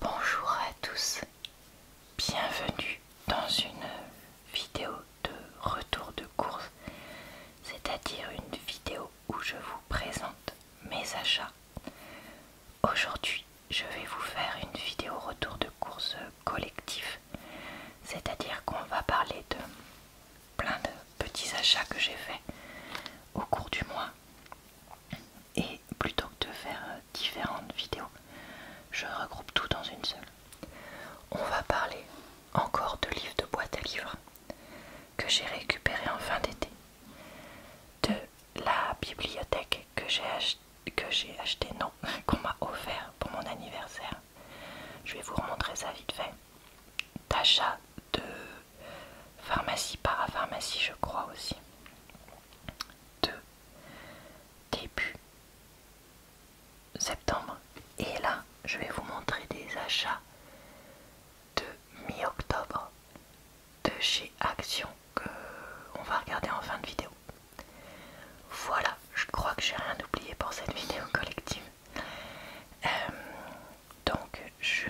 Bonjour à tous, bienvenue dans une vidéo de retour de course, c'est-à-dire une vidéo où je vous présente mes achats. Aujourd'hui, je vais vous faire une vidéo retour de course collectif, c'est-à-dire qu'on va parler de plein de petits achats que j'ai faits au cours du mois et plutôt que de faire euh, différentes vidéos, je regroupe tout dans une seule. On va parler encore de livres de boîte à livres que j'ai récupéré en fin d'été, de la bibliothèque que j'ai acheté, non, qu'on m'a offert pour mon anniversaire. Je vais vous remontrer ça vite fait. D'achat de pharmacie parapharmacie, je crois aussi de début septembre. Et là, je vais vous montrer des achats de mi-octobre de chez Action que on va regarder en fin de vidéo. Voilà, je crois que j'ai rien oublié pour cette vidéo collective. Euh, donc je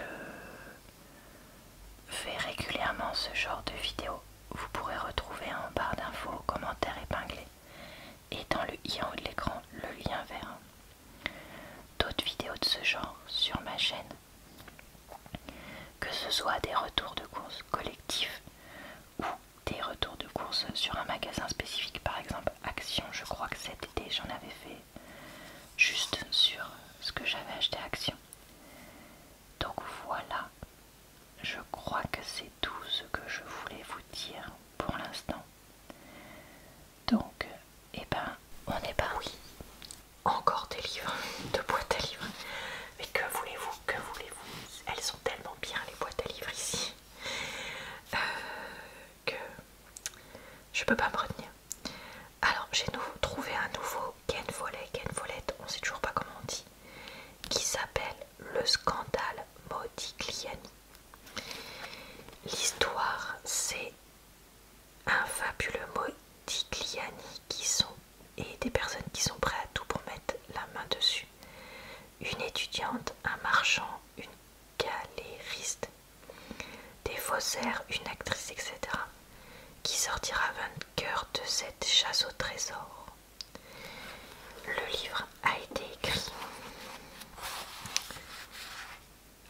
fait régulièrement ce genre de vidéos. Vous pourrez retrouver en barre d'infos commentaires épinglés et dans le i en haut de l'écran le lien vers d'autres vidéos de ce genre sur ma chaîne. Que ce soit des retours de courses collectifs ou des retours de courses sur un magasin spécifique, par exemple Action, je crois que cet été j'en avais fait juste sur ce que j'avais acheté à Action. Donc voilà, je crois que c'est tout ce que je voulais vous dire pour l'instant. Donc, eh ben, on est oui Encore des livres, de boîtes à livres. Mais que voulez-vous, que voulez-vous Elles sont tellement bien les boîtes à livres ici euh, que je peux pas me retenir. Alors j'ai trouvé un nouveau Ken Ken on sait toujours pas comment on dit, qui s'appelle Le scandale Modigliani. L'histoire, c'est un fabuleux Modigliani qui sont, et des personnes qui sont prêtes à tout pour mettre la main dessus. Une étudiante, un marchand, une galériste, des faussaires, une actrice, etc qui sortira vainqueur de cette chasse au trésor. Le livre a été écrit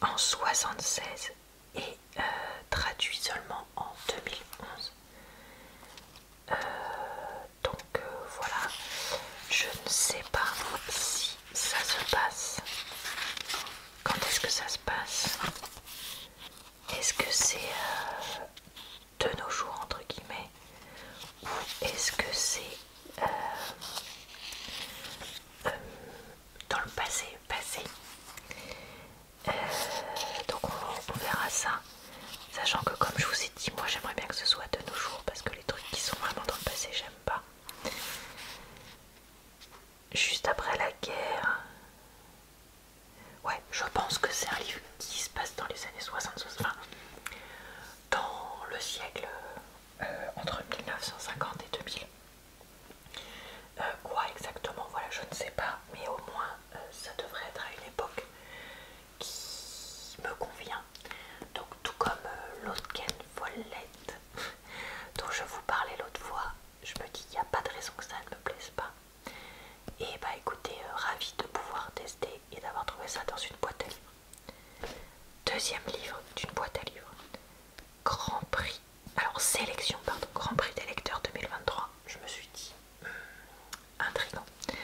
en 1976 et euh, traduit seulement en 2011. Euh, donc euh, voilà, je ne sais pas si ça se passe. Quand est-ce que ça se passe est-ce que c'est euh, de nos jours entre guillemets ou est-ce que c'est euh, euh, dans le passé passé Donc on verra ça. Sachant que comme je vous ai dit, moi j'aimerais bien que ce soit de nos jours parce que les trucs qui sont vraiment dans le passé, j'aime pas. Juste après la guerre, Ouais, je pense que c'est un livre qui se passe dans les années 60, enfin, dans le siècle euh, entre 1950 et 2000. Euh, quoi exactement, voilà, je ne sais pas, mais au moins euh, ça devrait être à une époque qui me convient. Donc, tout comme l'autre l'Autgen Follette dont je vous parlais l'autre fois, je me dis, qu'il n'y a pas de raison que ça ne me plaise pas. Et bah écoutez, ravie euh, ravi de pouvoir tester et d'avoir trouvé ça dans une boîte à livres. Deuxième livre d'une boîte à livres. Grand prix. Alors sélection, pardon, Grand prix des lecteurs 2023. Je me suis dit, intrigant. Hmm, intriguant.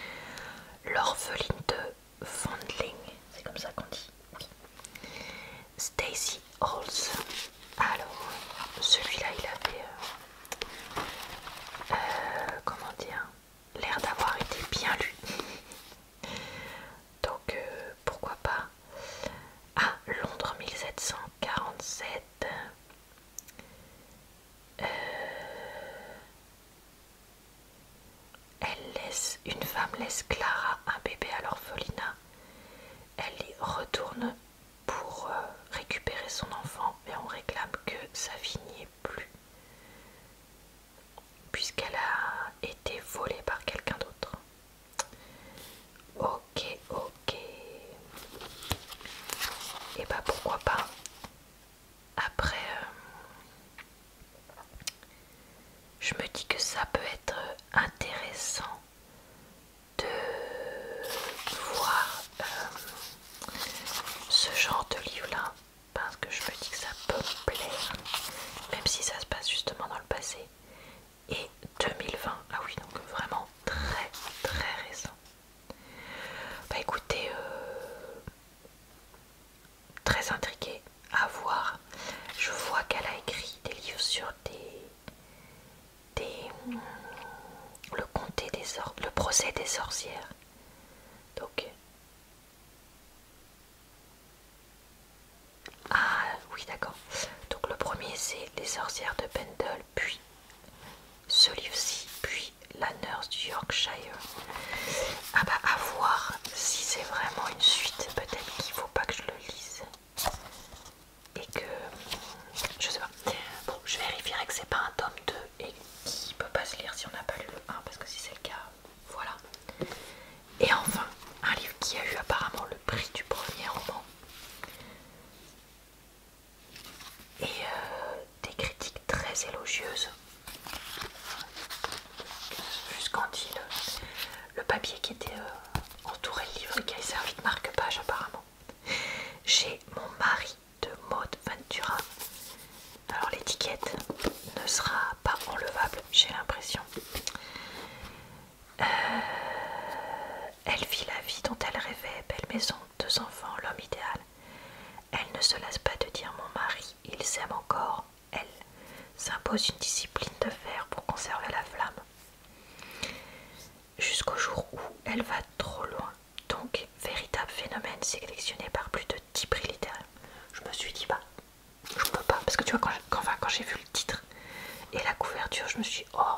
L'orpheline de Fondling, c'est comme ça qu'on dit, oui. Stacy Halls. Alors, celui-là, il avait... Euh, euh, comment dire, l'air d'avoir été bien lu. Donc euh, pourquoi pas à ah, Londres 1747. Euh, elle laisse, une femme laisse Clara un bébé à l'orphelinat. Elle y retourne pour euh, récupérer son enfant, mais on réclame que sa vie n'y est plus, puisqu'elle a été volée par quelqu'un d'autre. Ok, ok. Et bah pourquoi pas Après, euh, je me dis que ça peut être intéressant de voir euh, ce genre de livre-là parce que je me dis que ça peut me plaire, même si ça se passe justement dans le passé. Et 2020, ah oui, donc vraiment très très récent. Bah écoutez, euh, très intriguée à voir. Je vois qu'elle a écrit des livres sur des le, comté des le procès des sorcières. Donc, ah oui, d'accord. Donc, le premier, c'est Les sorcières de Pendle, puis ce livre-ci, puis La nurse du Yorkshire. Ah, bah, à voir si c'est vraiment une suite. Peut-être qu'il ne faut pas que je le lise et que je sais pas. Bon, je vérifierai que c'est pas un tome 2 et qui peut pas se lire si on n'a pas lu le 1 parce que si c'est le cas, voilà. Et enfin, un livre qui a eu apparemment le prix du premier roman. Et euh, des critiques très élogieuses. Jusqu'en dit Le papier qui était euh, entouré du livre qui a servi de marque-page apparemment. J'ai mon mari de Maud Ventura. Alors l'étiquette ne sera pas enlevable, j'ai l'impression. Euh, elle vit la vie dont elle rêvait, belle maison, deux enfants, l'homme idéal. Elle ne se lasse pas de dire mon mari, il s'aime encore. Elle s'impose une discipline de fer pour conserver la flamme. Jusqu'au jour où elle va trop loin donc véritable phénomène sélectionné par plus de 10 prix littéraires. Je me suis dit, bah, je peux pas, parce que tu vois, quand, j'ai vu le titre et la couverture, je me suis dit, oh,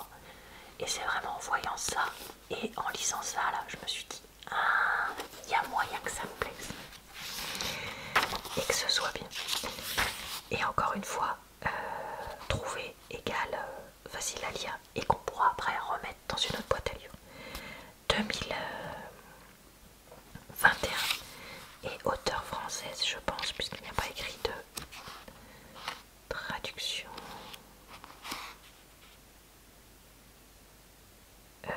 et c'est vraiment en voyant ça et en lisant ça, là, je me suis dit, ah, il y a moyen que ça me plaise et que ce soit bien. Et encore une fois, euh, trouver égale euh, facile à lire et qu'on pourra après remettre dans une autre boîte à lieu. 2021 euh, et auteur française, je pense, puisqu'il n'y a pas écrit de traduction. Euh,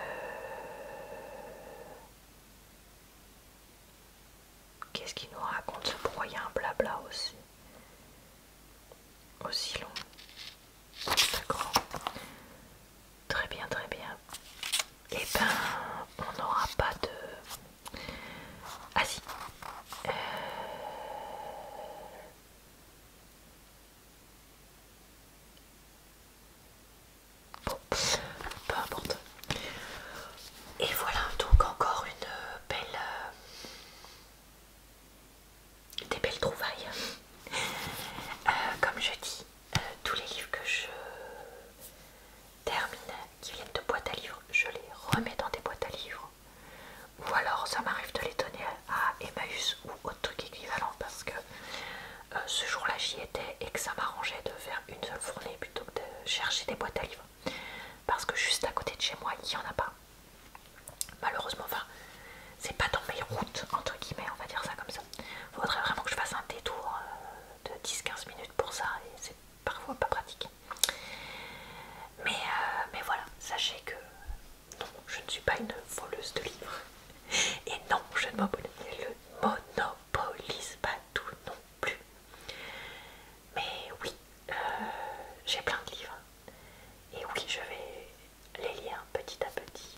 qu'est-ce qu'il nous raconte Pourquoi il y a un blabla aussi aussi long. D'accord. Très bien, très bien. Et eh ben, on n'aura pas de... Ah euh. Bon, peu importe. Et voilà donc encore une euh, belle, euh, des belles trouvailles. Euh, comme je dis, euh, tous les livres que je termine, qui viennent de boîtes à livres, je les remets dans des boîtes à livres. Ou alors ça m'arrive de les donner à Emmaüs ou autre truc équivalent parce que euh, ce jour-là j'y étais et que ça m'arrangeait de faire une seule fournée plutôt que de chercher des boîtes à livres. Parce que juste à côté de chez moi, il n'y en a pas. Malheureusement, enfin, c'est pas dans mes routes, entre guillemets, on va dire ça comme ça. Il Faudrait vraiment que je fasse un détour euh, de 10-15 minutes pour ça, et c'est parfois pas pratique. Euh, mais, voilà, sachez que non, je ne suis pas une voleuse de livres. Et non, je ne le monopolise pas tout non plus. Mais oui, euh, j'ai plein de livres. Et oui, je vais les liens petit à petit.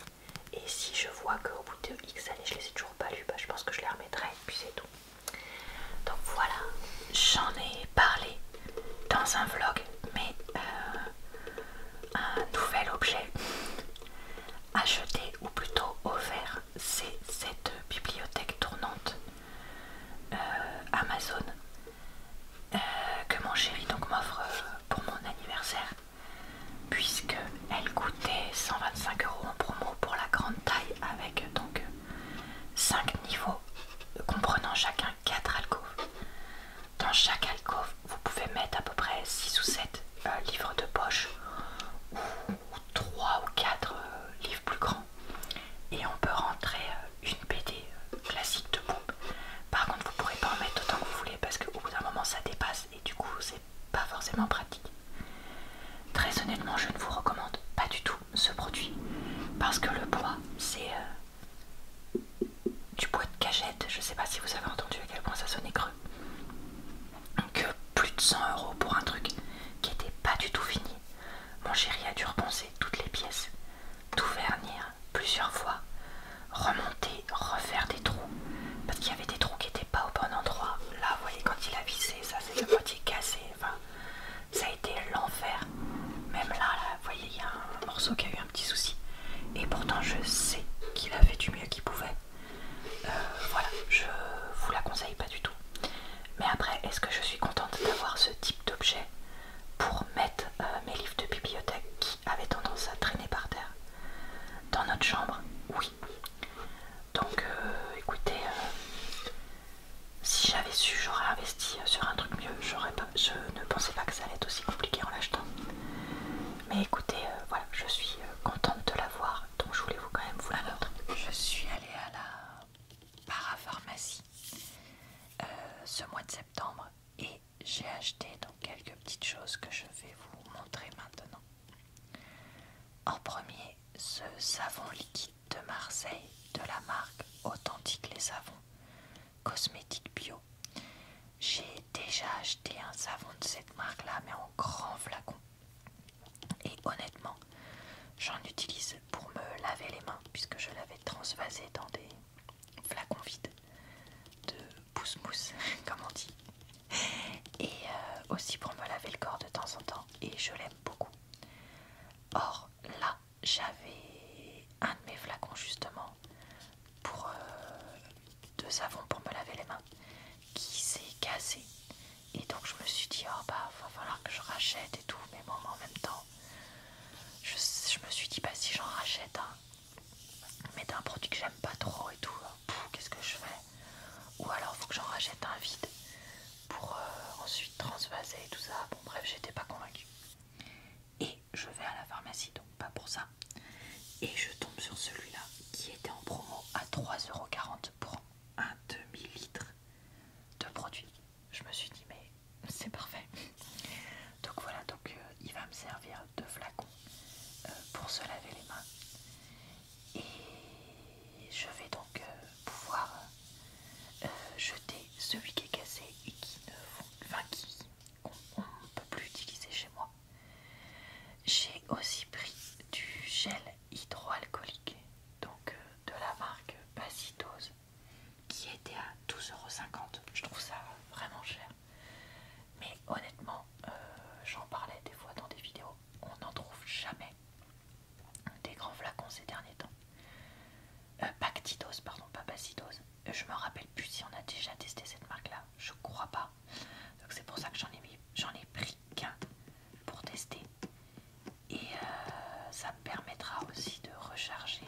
Et si je vois qu'au bout de X années je les ai toujours pas lus, bah, je pense que je les remettrai et puis c'est tout. Donc voilà, j'en ai parlé dans un vlog, mais euh, un nouvel objet acheté ou plutôt offert, c'est cette bibliothèque tournante euh, Amazon euh, que mon chéri donc m'offre euh, pour mon anniversaire puisque elle coûtait 125 euros en promo pour la grande taille avec euh, donc 5 niveaux comprenant chacun 4 alcôves. Dans chaque alcôve, vous pouvez mettre à peu près 6 ou 7 livres de poche ou, 3 ou 4 livres plus grands. Et on peut rentrer une BD euh, classique de pompe. Par contre, vous pourrez pas en mettre autant que vous voulez parce qu'au bout d'un moment ça dépasse et du coup, c'est pas forcément pratique. Très honnêtement, je ne vous recommande pas du tout ce produit parce que le bois, c'est euh, du bois de cagette Je sais pas si vous avez entendu à quel point ça sonnait creux. Que plus de 100 euros pour un truc qui était pas du tout fini. Mon chéri a dû repenser toutes les pièces tout vernir plusieurs fois, remonter, refaire des trous, parce qu'il y avait des trous qui n'étaient pas au bon endroit. Là, vous voyez, quand il a vissé, ça c'est le moitié cassé. Enfin, ça a été l'enfer. Même là, vous voyez, il y a un morceau qui a eu un petit souci. Et pourtant, je sais qu'il a fait du mieux qu'il pouvait. Euh, voilà, je vous la conseille pas du tout. Mais après, est-ce que je suis contente d'avoir ce type d'objet pour mettre euh, mes livres de bibliothèque qui avaient tendance à traîner par terre dans notre chambre. Oui. Donc euh, écoutez, euh, si j'avais su, j'aurais investi sur un truc mieux. Pas, je ne pensais pas que ça allait être aussi compliqué en l'achetant. Mais écoutez, voilà, je suis contente de l'avoir, donc je voulais vous quand même vous la montrer. Je suis allée à la parapharmacie ce mois de septembre et j'ai acheté donc quelques petites choses que je vais vous montrer maintenant. En premier, ce savon liquide de Marseille de la marque Authentique les Savons, cosmétique bio. J'ai déjà acheté un savon de cette marque-là, mais en grand flacon. Et honnêtement, j'en utilise pour me laver les mains, puisque je l'avais transvasé dans des flacon vide de pousse mousse comme on dit et euh, aussi pour me laver le corps de temps en temps et je l'aime beaucoup or là j'avais un de mes flacons justement pour euh, deux de savon pour me laver les mains qui s'est cassé et donc je me suis dit oh bah va falloir que je rachète et tout mais bon en même temps je, me suis dit bah si j'en rachète mais un produit que j'aime pas trop et tout, hein. qu'est-ce que je fais Ou alors faut que j'en rachète un vide pour euh, ensuite transvaser et tout ça. Bon bref, j'étais pas convaincue. Et je vais à la pharmacie, donc pas pour ça. Et je tombe sur celui-là qui était en promo à 3,40€ pour un demi-litre de produit. Je me suis dit mais c'est parfait. Donc voilà, donc euh, il va me servir de flacon euh, pour se laver les mains. Et je vais donc euh, pouvoir jeter celui qui est cassé et qui ne enfin, qui on ne peut plus utiliser chez moi. J'ai aussi pris du gel hydroalcoolique, donc de la marque Basitose, qui était à 12,50€. Je trouve ça vraiment cher. Mais honnêtement, euh, j'en parlais des fois dans des vidéos, on n'en trouve jamais des grands flacons ces derniers temps. Euh, pardon, pas Bacidose. Euh, je me rappelle plus si on a déjà testé cette marque-là, je crois pas. Donc c'est pour ça que j'en ai pris qu'un pour tester. Et euh, ça permettra aussi de recharger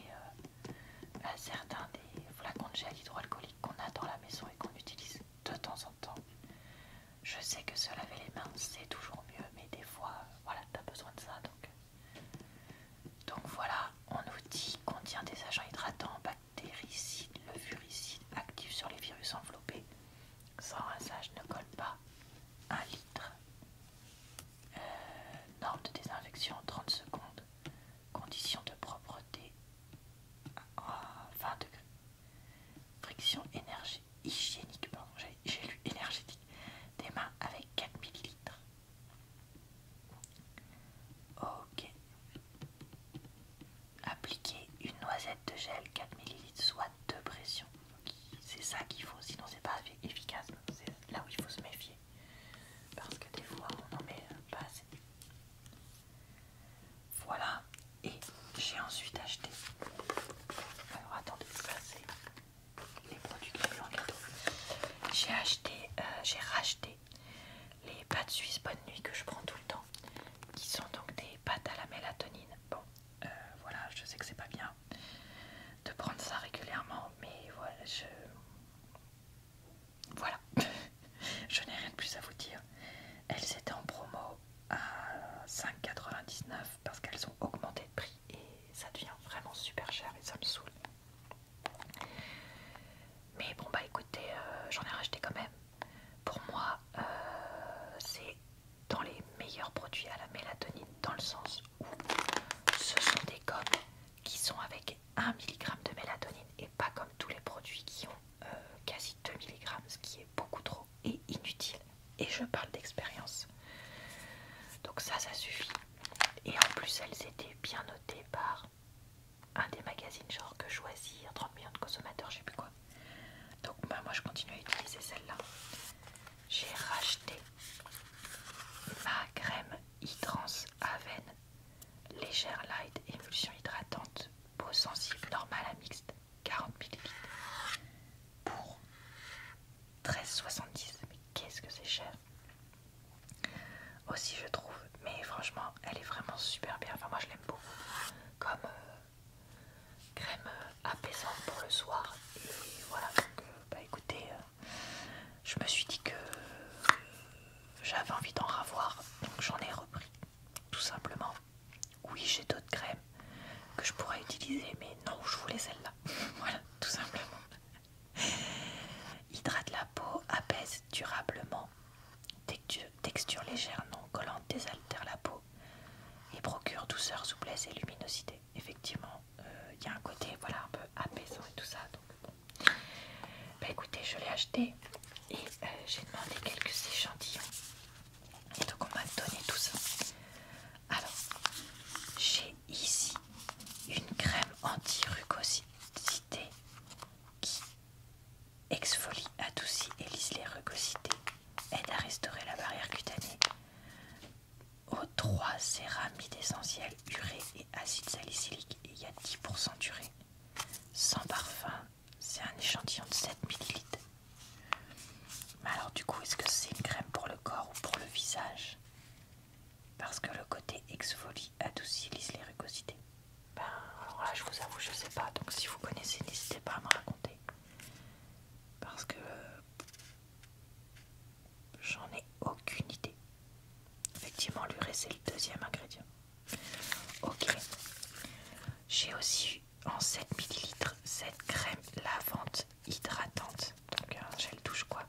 à certains des flacons de gel hydroalcoolique qu'on a dans la maison et qu'on utilise de temps en temps. Je sais que se laver les mains c'est toujours mieux, mais des fois, voilà, t'as besoin de ça donc. voilà, on nous dit qu'on contient des agents hydratants, bactéricides, levuricides, actifs sur les virus enveloppés. Sans rinçage ne colle pas. Un litre. Euh, norme de désinfection 30 secondes. Conditions de propreté à 20 Friction énergie, hygiénique, pardon, j'ai lu énergétique. Des mains avec 4 ml. Ok. Appliquer une noisette de gel 4 ml, soit de pression. C'est ça qu'il faut, sinon c'est pas efficace. C'est là où il faut se méfier parce que des fois on n'en met pas assez. Voilà, et j'ai ensuite acheté. Alors attendez, placer les produits que en J'ai acheté, euh, j'ai racheté les pâtes suisses bonne nuit que je prends tout le temps, qui sont donc des pâtes à la mélatonine. Bon, euh, voilà, je sais que c'est pas bien de prendre ça régulièrement, mais voilà, je voilà, je n'ai rien de plus à vous dire. Elles étaient en promo à 5,99 parce qu'elles ont augmenté de prix et ça devient vraiment super cher et ça me saoule. Mais bon bah écoutez, euh, j'en ai racheté quand même. Pour moi, euh, c'est dans les meilleurs produits à la mélatonine dans le sens où ce sont des gommes qui sont avec 1 mg de mélatonine et pas comme tous les produits qui ont euh, quasi 2 mg, ce qui est beaucoup trop et inutile. Et je parle d'expérience. Donc ça, ça suffit. Et en plus, elles étaient bien notées par un des magazines genre que choisir, 30 millions de consommateurs, je sais plus quoi. Donc bah, moi, je continue à utiliser celle-là. J'ai racheté ma crème à veine Légère light, émulsion hydratante, peau sensible, normale à mixte, 40 ml. Pour 13,70, mais qu'est-ce que c'est cher Aussi je trouve, mais franchement elle est vraiment super bien, enfin moi je l'aime beaucoup, comme euh, crème euh, apaisante pour le soir. Et voilà, donc euh, bah écoutez, je me suis dit que j'avais envie d'en ravoir, donc j'en ai repris, tout simplement. Oui, j'ai d'autres crèmes que je pourrais utiliser, mais non, je voulais celle-là. voilà, tout simplement. Hydrate la peau, apaise durablement, texture, légère non collante désaltère la peau et procure douceur, souplesse et luminosité. Effectivement, euh, il y a un côté voilà un peu apaisant et tout ça, bah écoutez, je l'ai acheté et euh, j'ai demandé quelques échantillons. donc on m'a donné tout ça. Alors, j'ai ici une crème anti-rugosité qui exfolie, adoucit et lisse les rugosités, aide à restaurer la barrière cutanée. Aux 3 céramides essentielles, urée et acide salicylique. Et il y a 10% d'urée sans parfum. C'est un échantillon de 7 ml. Mais alors du coup, est-ce que c'est une crème pour le corps ou pour le visage Parce que le côté exfolie adoucit les rugosités. Ben alors là, je vous avoue, je sais pas. Donc si vous connaissez, n'hésitez pas à me raconter. Parce que euh, j'en ai aucune idée. Effectivement, l'urée c'est le deuxième ingrédient. Ok. J'ai aussi en 7 ml cette crème lavante hydratante. Donc un euh, gel douche quoi.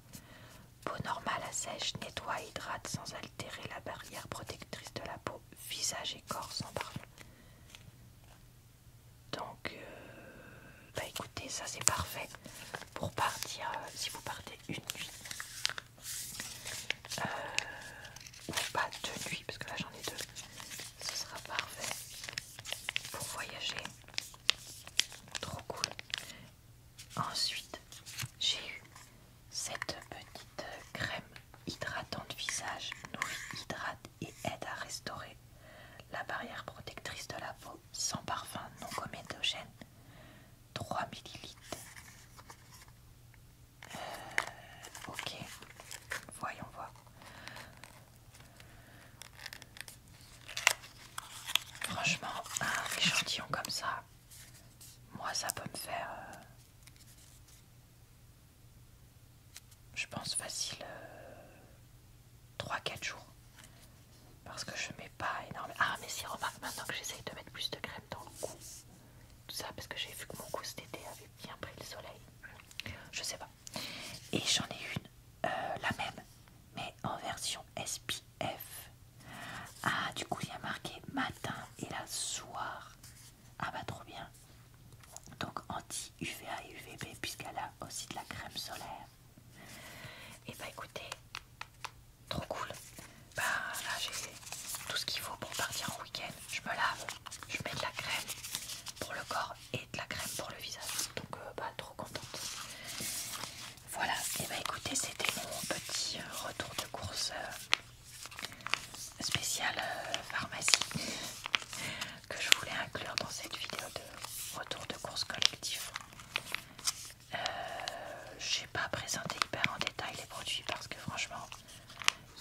Peau normale à sèche, nettoie, hydrate sans altérer la barrière protectrice de la peau, visage et corps sans parfum. Donc, euh, bah écoutez, ça c'est parfait pour partir, euh, si vous partez une nuit, euh, ou pas de nuit, parce que là j'en ai deux. Ce sera parfait pour voyager. Trop cool. Ensuite, j'ai eu cette petite crème hydratante visage, nourrit, hydrate et aide à restaurer la barrière protectrice de la peau sans parfum non comédogène. 3 ml euh, ok, voyons voir. Franchement, un échantillon comme ça, moi ça peut me faire, euh, je pense facile, 3-4 euh, jours. Parce que je mets pas énormément. Ah mais si remarque maintenant que j'essaye de mettre plus de crème dans le cou, tout ça parce que j'ai vu que mon cou cet été avait bien pris le soleil. Je sais pas. Et j'en ai une, euh, la même, mais en version SPF. Ah, du coup, il y a marqué matin et la soir. Ah, bah, trop bien. Donc, anti-UVA et UVB, puisqu'elle a aussi de la crème solaire. Et eh bah, écoutez, Trop cool. Bah là j'ai tout ce qu'il faut pour partir en week-end. Je me lave, je mets de la crème pour le corps et de la crème pour le visage. Donc euh, bah, trop contente. Voilà, et eh bah ben, écoutez, c'était mon petit euh, retour de course euh, spécial pharmacie que je voulais inclure dans cette vidéo de retour de course collectif pas présenté hyper en détail les produits parce que franchement,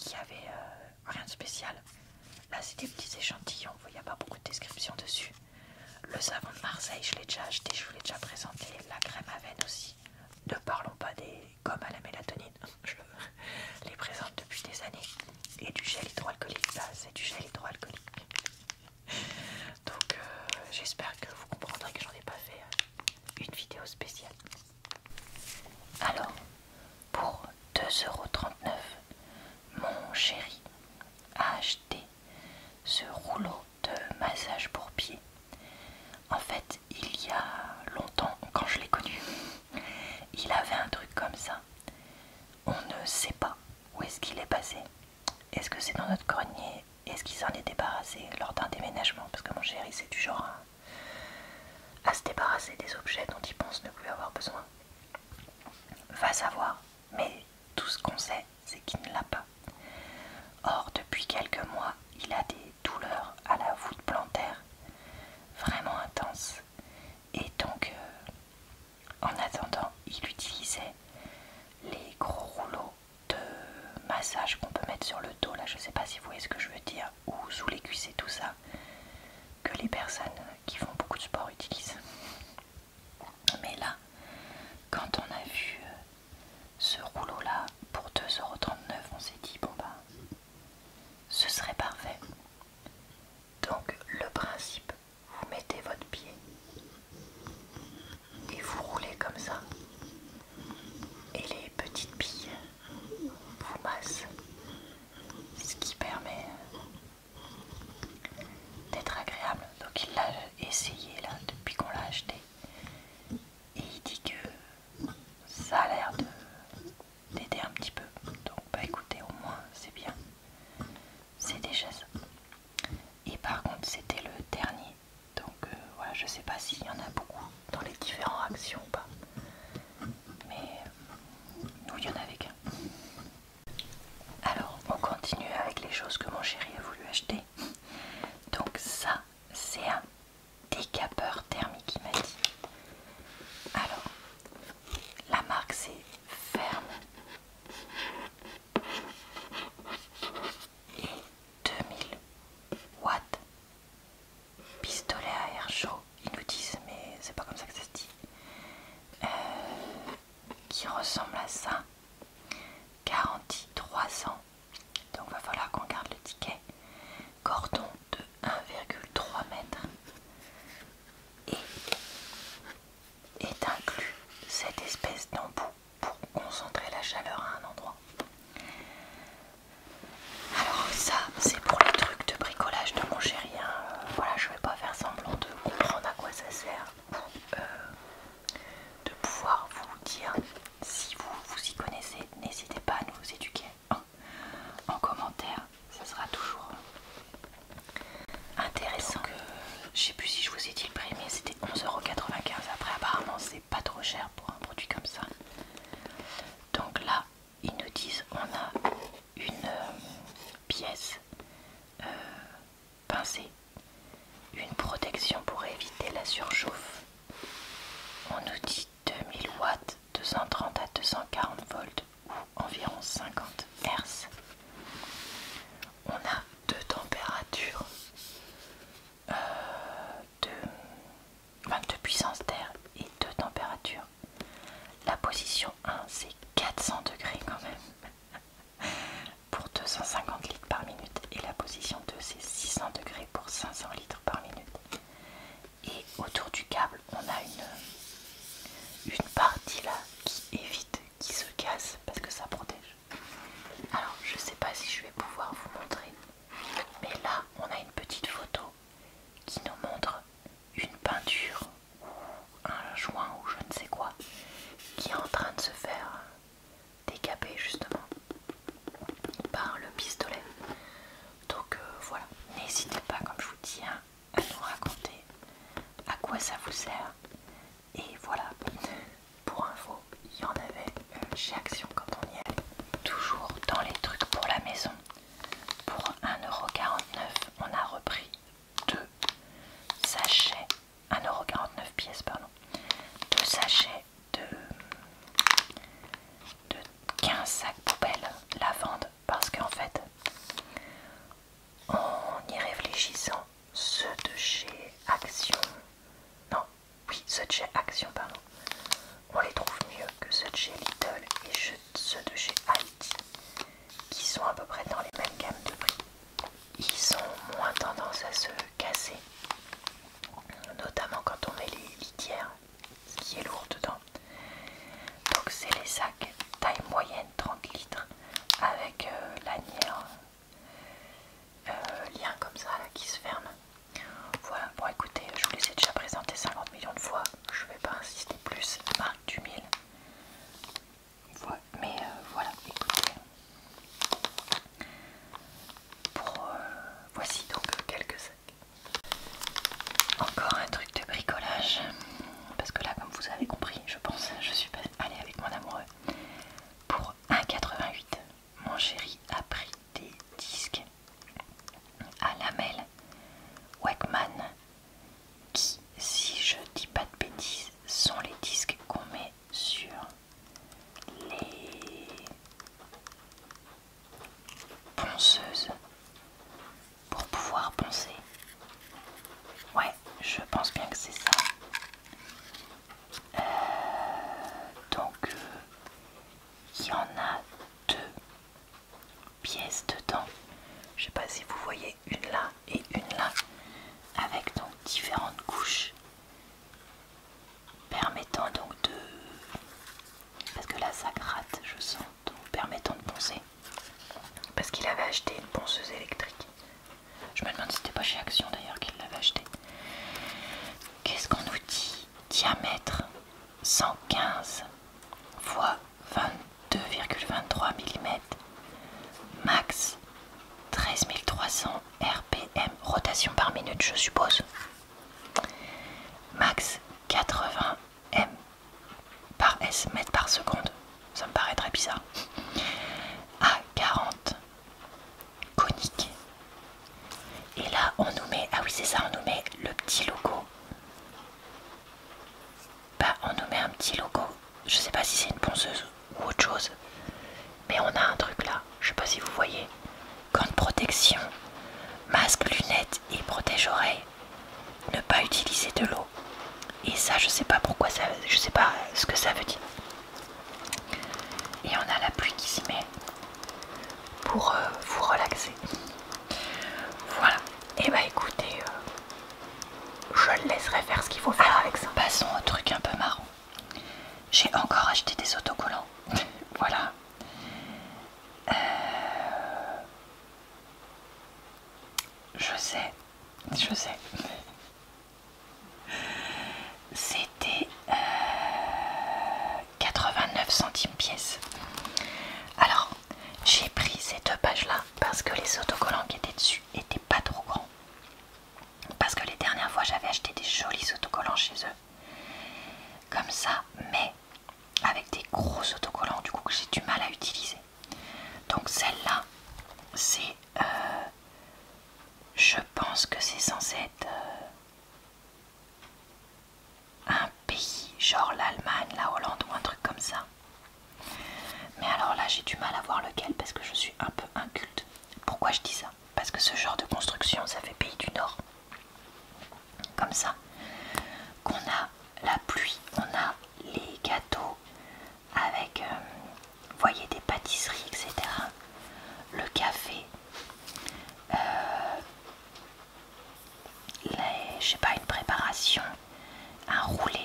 il y avait euh, rien de spécial. Là, c'est des petits échantillons, il n'y a pas beaucoup de description dessus. Le savon de Marseille, je l'ai déjà acheté, je vous l'ai déjà présenté. La crème à veine aussi. Ne parlons pas des gommes à la mélatonine, je les présente depuis des années. Et du gel hydroalcoolique, ça c'est du gel hydroalcoolique. Donc euh, j'espère que vous comprendrez que j'en ai pas fait euh, une vidéo spéciale. Alors, pour 2,39€, mon chéri a acheté ce rouleau de massage pour pied. En fait, il y a longtemps, quand je l'ai connu, il avait un truc comme ça. On ne sait pas où est-ce qu'il est passé. Est-ce que c'est dans notre grenier Est-ce qu'il s'en est débarrassé lors d'un déménagement Parce que mon chéri, c'est du genre à se débarrasser des objets dont il pense ne plus avoir besoin. Va savoir, mais tout ce qu'on sait, c'est qu'il ne l'a pas. Or, depuis quelques mois, il a des douleurs à la voûte plantaire, vraiment intenses. Et donc, euh, en attendant, il utilisait les gros rouleaux de massage qu'on peut mettre sur le dos, là je sais pas si vous voyez ce que je veux dire, ou sous les cuisses et tout ça, que les personnes qui font beaucoup de sport utilisent. Mais là, quand on a vu euh, ce rouleau là pour 2,39€, on s'est dit bon bah ce serait parfait. Donc le principe, vous mettez votre pied et vous roulez comme ça. Et les petites billes ce qui permet euh, d'être agréable. Donc il l'a essayé là depuis qu'on l'a acheté et il dit que ça a l'air d'aider un petit peu. Donc bah écoutez au moins c'est bien. C'est déjà ça. Et par contre c'était le dernier donc euh, voilà, je sais pas s'il y en a beaucoup dans les différents actions ou pas. Mais euh, nous, il y en avait qu'un. Alors, on continue avec les choses que mon chéri a voulu acheter. Donc ça, c'est un décapeur thermique, il m'a dit. Alors, la marque c'est Ferme et 2000 watts pistolet à air chaud, ils nous disent, mais c'est pas comme ça que ça se dit, euh, qui ressemble à ça, garantie 3 ans, donc va falloir qu'on garde le ticket, cordon de 1,3 mètres et est inclus cette espèce d'embout pour concentrer la chaleur à un endroit. Alors ça c'est pour le truc de bricolage de mon chéri. Hein. Voilà, je vais pas faire semblant de comprendre à quoi ça sert. Euh, de pouvoir vous dire si vous vous y connaissez, n'hésitez pas à nous éduquer hein. en commentaire, ça sera toujours intéressant. Je euh, ne je sais plus si je vous ai dit le prix, mais c'était 11,95€. Après, apparemment, c'est pas trop cher pour un produit comme ça. Donc là, ils nous disent on a une euh, pièce euh, pincée, une protection pour éviter la surchauffe. On nous dit 2000 watts, 230 à 240 volts ou environ 50 Hz. On a deux températures de, puissance d'air et de température. La position 1, c'est 400 degrés quand même pour 250 litres par minute et la position 2, c'est 600 degrés pour 500 litres par minute. Et autour du câble, on a une, une partie là qui évite qu'il se casse parce que ça protège. Alors, je sais pas si je vais pouvoir vous montrer mais là, on a une petite photo qui nous montre une peinture ou un joint ou je ne sais quoi qui est en train de se faire décaper justement par le pistolet. Donc euh, voilà, n'hésitez pas comme je vous dis hein, à nous raconter à quoi ça vous sert. Et voilà, pour info, il y en avait chez Action quand on y est. Toujours dans les trucs pour la maison. Pour 1,49€, on a repris deux sachets. 1,49€ pièces, pardon. Deux sachets de, 15 sacs poubelles vente, Parce qu'en fait, en y réfléchissant, Ce de chez Action, non, oui, ceux de chez Action, pardon. On les trouve mieux que ceux de chez Lidl et ceux de chez Aldi, qui sont à peu près dans les mêmes gammes de prix. Ils ont moins tendance à se casser, notamment quand on met les litières, ce qui est lourd dedans. Donc c'est les sacs taille moyenne 30 litres avec euh, lanière, euh, lien comme ça qui se ferme voilà, bon écoutez, je vous les ai déjà présenté 50 millions de fois, je vais pas insister plus, marque du mille. mais euh, voilà, écoutez. Euh, voici donc quelques sacs. Encore un truc de bricolage, parce que là, comme vous avez compris, je pense, je suis allée avec mon amoureux pour 1,88 mon chéri a pris des disques à lamelles Wegman qui, si je dis pas de bêtises, sont les disques qu'on met sur les ponceuses pour pouvoir poncer. Ouais, je pense bien que c'est ça. Euh, donc, euh, il y en a deux pièces dedans. Je sais pas si vous voyez une là et une là, avec donc différentes couches permettant donc de parce que là ça gratte je sens donc permettant de poncer parce qu'il avait acheté une ponceuse électrique je me demande si c'était pas chez Action d'ailleurs qu'il l'avait acheté qu'est-ce qu'on nous dit diamètre 115 fois 22,23 mm max 13300 rpm rotation par minute je suppose max 80 m par s mètre par seconde ça me paraît très bizarre à 40 conique et là, on nous met, ah oui, c'est ça, on nous met le petit logo. Bah, on nous met un petit logo. Je sais pas si c'est une ponceuse ou autre chose, mais on a un truc là. Je sais pas si vous voyez. Gants protection, masque, lunettes et protège oreille. Ne pas utiliser de l'eau. Et ça, je sais pas pourquoi ça, je sais pas ce que ça veut dire. Et on a la pluie qui s'y met pour euh, vous relaxer. Voilà. Et eh bah ben, écoutez, euh, je laisserai faire ce qu'il faut faire ah, avec ça. Passons au truc un peu marrant. J'ai encore acheté des autocollants. voilà. Euh, je sais, je sais. C'était 89 centimes pièce. Alors, j'ai pris ces deux pages-là parce que les autocollants qui étaient dessus étaient pas trop grands. Parce que les dernières fois, j'avais acheté des jolis autocollants chez eux. Comme ça, mais avec des gros autocollants, du coup, que j'ai du mal à utiliser. Donc celle-là, c'est... Euh, je pense que c'est censé être... Euh, un pays, genre l'Allemagne, la Hollande ou un truc comme ça. Mais alors là, j'ai du mal à voir lequel parce que je suis un peu inculte. Pourquoi je dis ça Parce que ce genre de construction, ça fait pays du Nord. Comme ça, qu'on a la pluie, on a les gâteaux avec, euh, voyez, des pâtisseries, etc. Le café, euh, je sais pas, une préparation, un roulé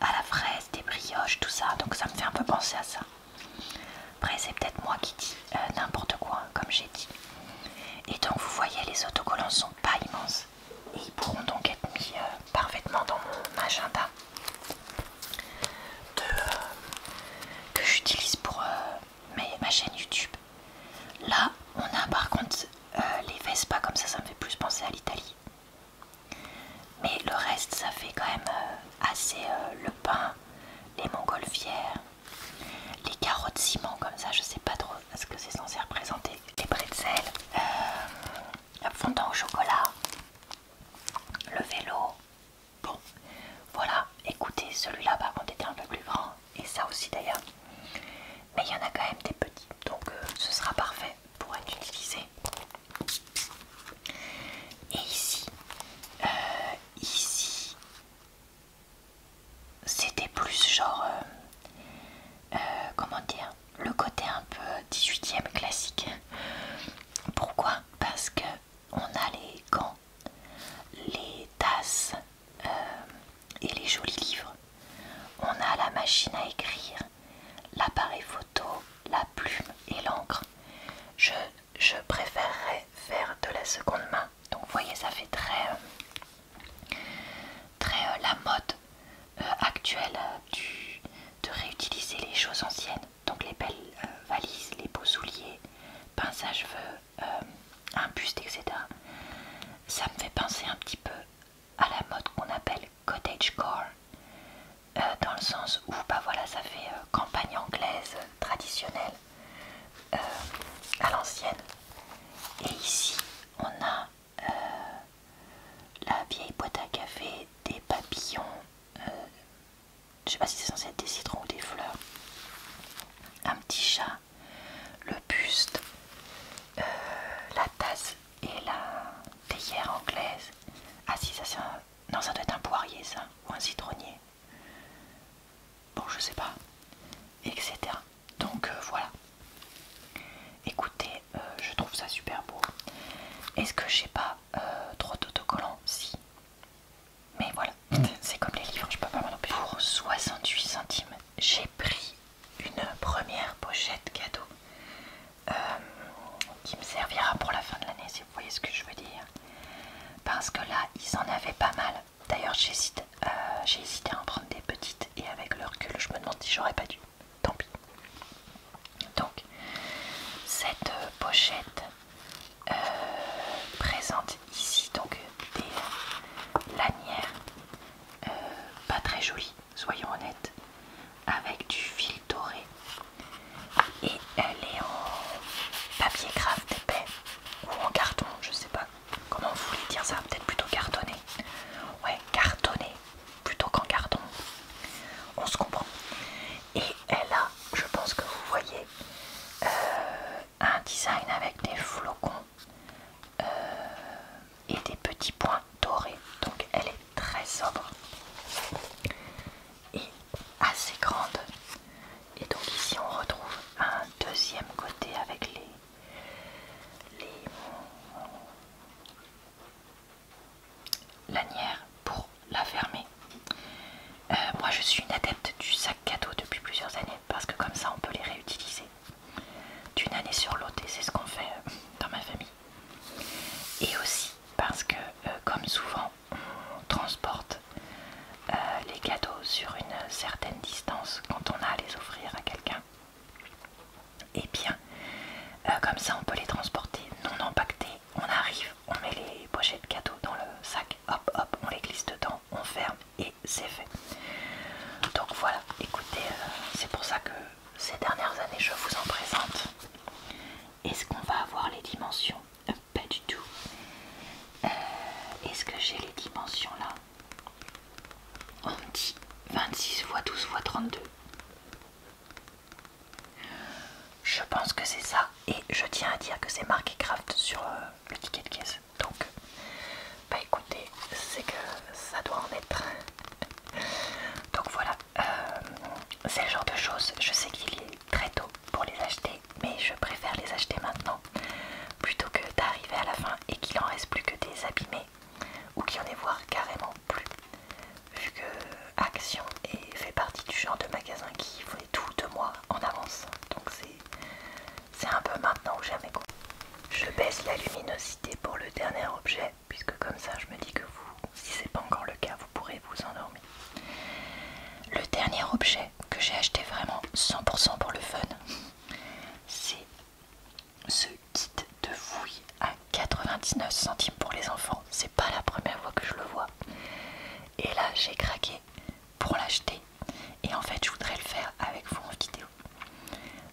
à la fraise, des brioches, tout ça. Donc ça me fait un peu penser à ça. Après, c'est peut-être moi qui dis euh, n'importe quoi, comme j'ai dit. Et donc, vous voyez, les autocollants sont pas immenses. Et ils pourront donc être mis euh, parfaitement dans mon agenda euh, que j'utilise pour ma chaîne YouTube. Là, on a par contre euh, les Vespa, comme ça, ça me fait plus penser à l'Italie. Mais le reste, ça fait quand même euh, assez euh, le pain, les montgolfières, les carottes ciment, comme ça, je sais pas trop ce que c'est censé représenter. Les bretzels, la fondant au chocolat, le vélo. Bon, voilà, écoutez, celui-là par contre était un peu plus grand et ça aussi d'ailleurs. Mais il y en a quand même des petits, donc euh, ce sera parfait pour être utilisé. Et ici, euh, ici, c'était plus genre, euh, comment dire, le côté un peu 18ème classique. Pourquoi Parce que on a les gants les tasses euh, et les jolis livres. On a la machine à écrire, l'appareil photo, la plume et l'encre. Je, préférerais faire de la seconde main. Donc vous voyez, ça fait très, euh, très euh, la mode actuelle de réutiliser les choses anciennes. Donc les belles valises, les beaux souliers, pince à cheveux, euh, un buste, etc. Ça me fait penser un petit peu à la mode qu'on appelle cottage car euh, dans le sens où bah voilà, ça fait euh, campagne anglaise traditionnelle à l'ancienne. Et ici, on a la vieille boîte à café, des papillons. je sais pas si c'est censé être des citrons ou des fleurs. Un petit chat le buste, euh, la tasse et la théière anglaise. Ah si, ça c'est un... Non, ça doit être un poirier ça, ou un citronnier. Bon, je sais pas. Etc. Donc euh, voilà. Écoutez, euh, je trouve ça super beau. Est-ce que j'ai pas trop d'autocollants Si. Mais voilà, hmm. c'est comme les livres, je peux pas m'en empêcher. Pour 68 centimes, j'ai pris une première pochette cadeau euh, qui me servira pour la fin de l'année, si vous voyez ce que je veux dire. Parce que là, ils en avaient pas mal. D'ailleurs, j'hésite, euh, j'ai hésité à en prendre des petites et avec le recul, je me demande si j'aurais pas dû. Tant pis. Donc, cette pochette euh, présente ici donc des lanières euh, pas très jolies, soyons honnêtes, avec du fil doré et elle est en papier craft épais ou en carton, je sais pas comment vous voulez dire ça, peut-être plutôt cartonné. Ouais, cartonné plutôt qu'en carton. On se comprend. Et elle a, je pense que vous voyez, euh, un design avec des flocons euh, et des petits points dorés. Donc elle est très sobre et assez grande. Et donc ici on retrouve un deuxième côté avec les, lanières pour la fermer. Euh, moi je suis une adepte du sac cadeau depuis plusieurs années, parce que comme ça on peut les réutiliser d'une année sur l'autre et c'est ce qu'on fait euh, dans ma famille. Et aussi parce que euh, comme souvent on transporte euh, les cadeaux sur une certaine distance quand on a à les offrir à quelqu'un, et eh bien comme ça on peut les transporter non empaquetés. on arrive, on met les pochettes cadeaux dans le sac, hop hop, on les glisse dedans, on ferme et c'est fait. Donc voilà, écoutez, euh, c'est pour ça que ces dernières années je vous en présente. Est-ce qu'on va avoir les dimensions euh, Pas du tout. Euh, est-ce que j'ai les dimensions là On me dit 26 x 12 x 32. Je pense que c'est ça et je tiens à dire que c'est marqué Craft sur, le ticket de caisse. Donc, bah écoutez, c'est que ça doit en être. Donc voilà, euh, c'est le genre de choses, je sais qu'il est très tôt pour les acheter, mais je préfère les acheter maintenant plutôt que d'arriver à la fin et qu'il en reste plus que des abîmés ou qu'il n'y en ait voir carrément plus. Vu que Action et fait partie du genre de magasin qui voulait tout deux mois en avance, donc c'est c'est un peu maintenant ou jamais. Je baisse la luminosité pour le dernier objet, puisque comme ça je me dis que vous, si c'est pas encore le cas, vous pourrez vous endormir. Le dernier objet que j'ai acheté vraiment 100% pour le fun, c'est ce kit de fouille à 99 centimes pour les enfants. C'est pas la première fois que je le vois. Et là j'ai craqué pour l'acheter et en fait je voudrais le faire avec vous en vidéo.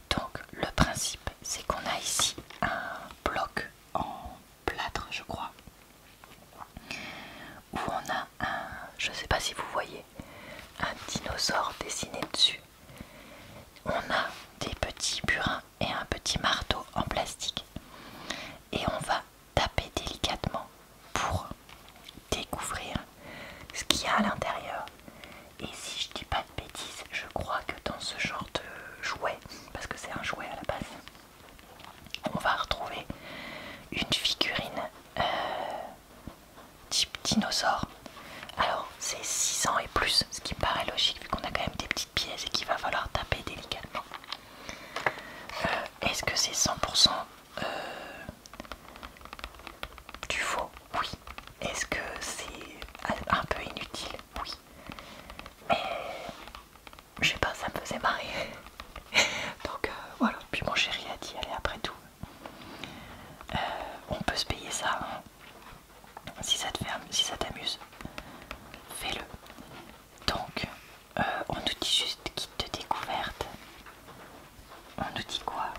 Donc le principe c'est qu'on a ici un bloc en plâtre je crois où on a un, je sais pas si vous voyez, un dinosaure dessiné dessus. On a des petits burins et un petit marteau en plastique et on va taper délicatement pour découvrir ce qu'il y a à l'intérieur. Et si je dis pas de bêtises, je crois que dans ce genre de jouet, parce que c'est un jouet à la base, on va retrouver une figurine euh, type dinosaure. Alors c'est ans et plus, ce qui paraît logique vu qu'on a quand même des petites pièces et qu'il va falloir taper délicatement. Euh, est-ce que c'est 100% euh, du faux Oui. Est-ce que c'est un peu inutile Oui. Mais je sais pas, ça me faisait marrer. Donc euh, voilà, puis mon chéri a dit, allez après tout. Euh, on peut se payer ça. Hein. Si ça te ferme si ça t'amuse, fais-le. Donc, euh, on nous dit juste kit de découverte. On nous dit quoi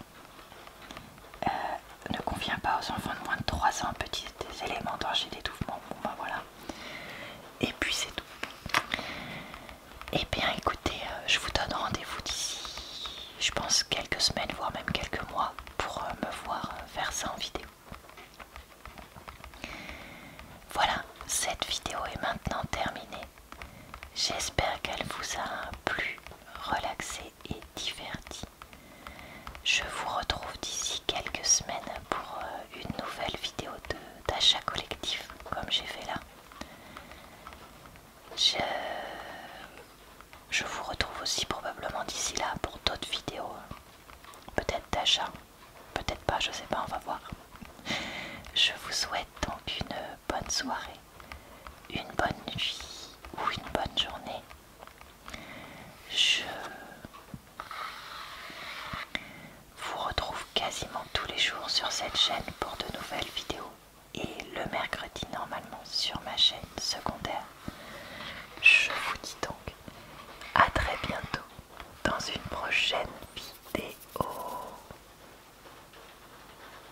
euh, ne convient pas aux enfants de moins de 3 ans, petits éléments et d'étouffement. Bon ben voilà. Et puis c'est tout. et eh bien écoutez, euh, je vous donne rendez-vous d'ici, je pense, quelques semaines, voire même quelques mois, pour euh, me voir faire ça en vidéo. Voilà, cette vidéo est maintenant terminée. J'espère qu'elle vous a plu, relaxé et diverti. Je vous retrouve d'ici quelques semaines pour euh, une nouvelle vidéo d'achat collectif, comme j'ai fait là. Je, je vous retrouve aussi probablement d'ici là pour d'autres vidéos. Peut-être d'achat, peut-être pas, je sais pas, on va voir. Je vous souhaite donc une bonne soirée une bonne nuit ou une bonne journée. Je vous retrouve quasiment tous les jours sur cette chaîne pour de nouvelles vidéos et le mercredi normalement sur ma chaîne secondaire. Je vous dis donc à très bientôt dans une prochaine vidéo.